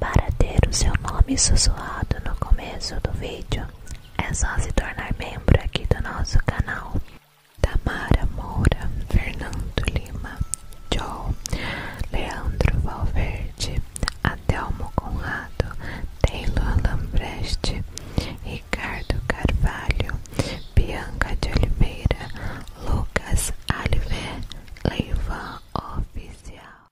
Para ter o seu nome sussurrado no começo do vídeo, é só se tornar membro aqui do nosso canal. Tamara Moura, Fernando Lima, Joe, Leandro Valverde, Adelmo Conrado, Taylor Lambreste, Ricardo Carvalho, Bianca de Oliveira, Lucas Alivé, Leiva Oficial.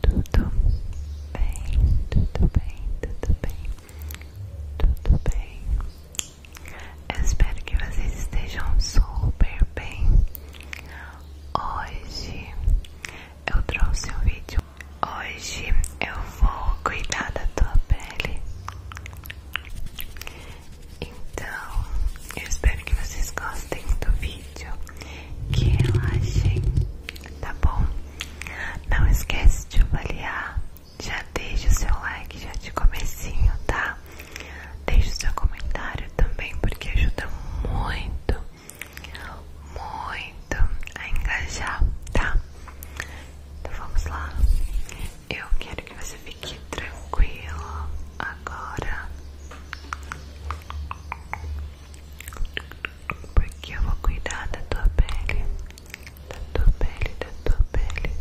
Tudo bem, tudo bem, tudo bem, tudo bem. Eu espero que vocês estejam super bem. Hoje eu trouxe um vídeo. Hoje eu vou cuidar da tua pele. Então, eu espero que vocês gostem do vídeo, que relaxem, tá bom? Não esquece de avaliar, já deixa o seu like já de comecinho, tá? Deixa o seu comentário também, porque ajuda muito, muito a engajar, tá? Então vamos lá. Eu quero que você fique tranquilo, agora porque eu vou cuidar da tua pele, da tua pele, da tua pele,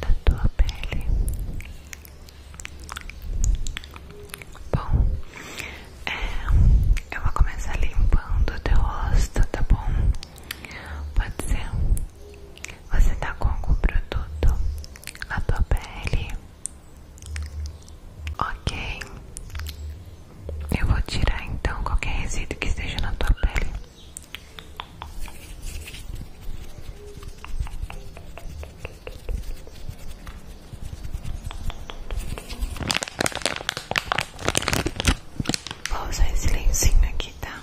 da tua pele. Bom, é, eu vou começar limpando o teu rosto, tá bom? Pode ser. Você tá com o produto na tua pele? Ok, eu vou tirar então qualquer resíduo que esteja na tua pele. Vou usar esse lencinho aqui, tá?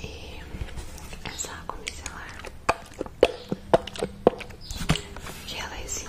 E essa água micelar que ela é 5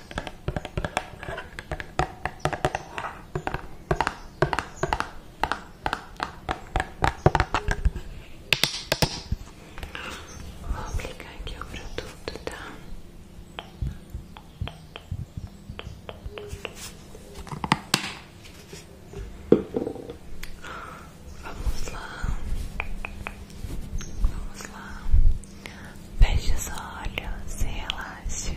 Vou aplicar aqui o produto, tá? Vamos lá, vamos lá, feche os olhos relaxe.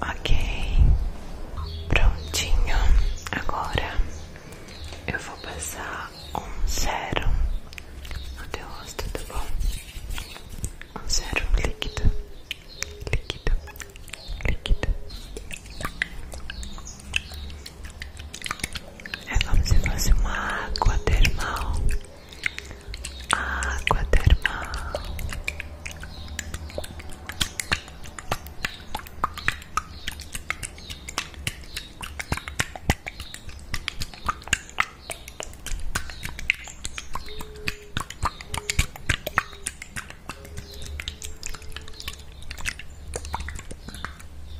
Ok, prontinho. Agora eu vou passar um zero. no teu tá bom? Um zero líquido, líquido, líquido. É como se fosse uma água termal água termal.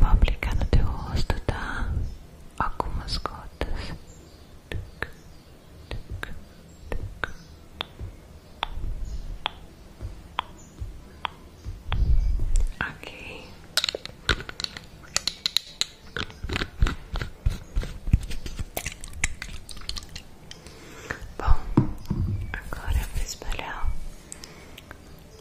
Vou aplicar no teu rosto, tá? Algumas gotas. Ok. Bom, agora eu vou espalhar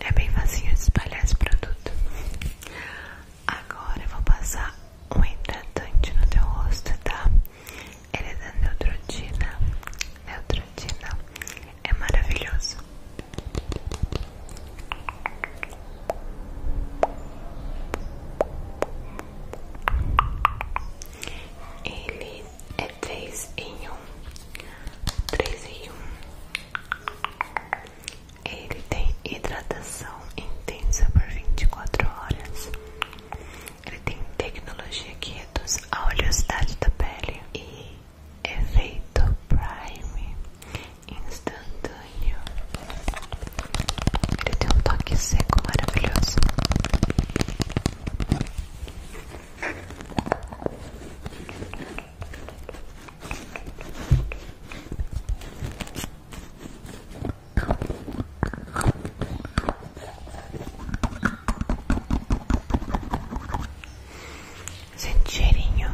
É bem facinho de espalhar esse produto. Agora eu vou passar um hidratante no teu rosto, tá? Ele é da Neutrotina. Neutrotina é maravilhoso. Ele é três em um, três em um. Ele tem hidratação intensa por 24 horas. Ele tem tecnologia que reduz a oleosidade da pele e efeito prime instantâneo. Ele tem um toque seco maravilhoso. Gente, cheirinho.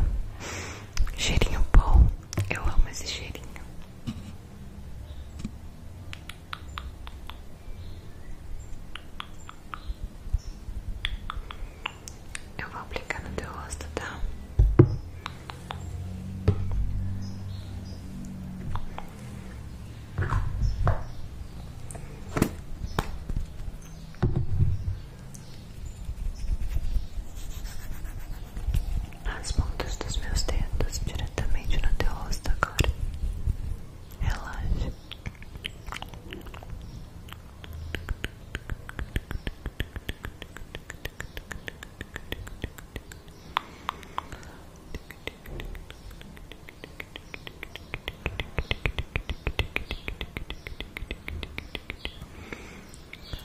Cheirinho bom. Eu amo esse cheirinho. Eu vou aplicar no teu rosto, tá? As pontas dos meus dedos diretamente na teu rosto agora. Relaxa.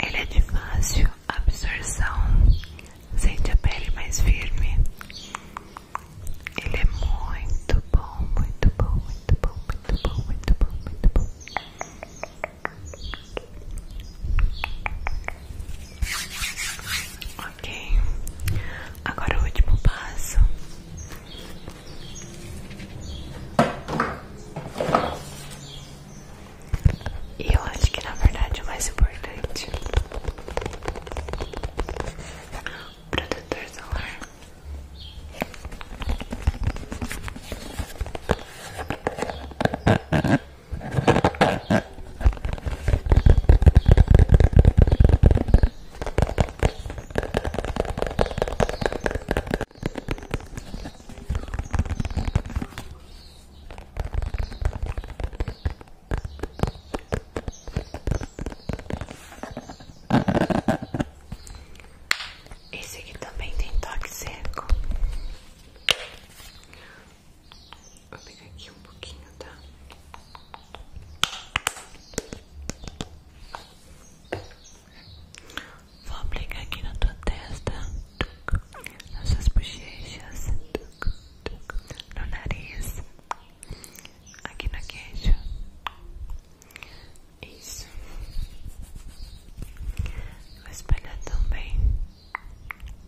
Ele é de fácil absorção, sente a pele mais firme. Ele é muito bom, muito bom, muito bom, muito bom, muito bom, muito bom. Ok, agora o último passo. E eu acho que na verdade o mais importante Protetor solar esse aqui também tem toque seco. Vou pegar aqui um pouquinho, tá? Vou aplicar aqui na tua testa, nas suas bochechas, no nariz, aqui na queijo. Isso. Vou espalhar também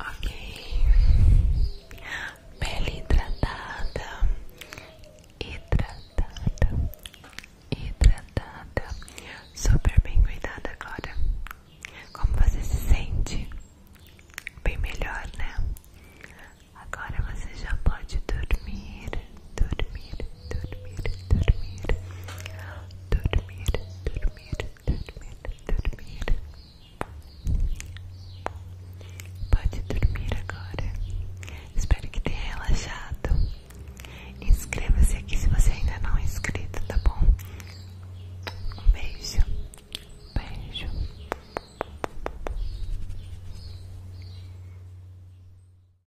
Ok, pele hidratada, hidratada, hidratada, super bem cuidada agora. Como você se sente? Bem melhor, né? Agora você já pode dormir dormir, dormir, dormir, dormir, dormir, dormir, dormir. Pode dormir agora. Espero que tenha relaxado. Inscreva-se aqui se você ainda não é inscrito, tá bom? Um beijo, beijo.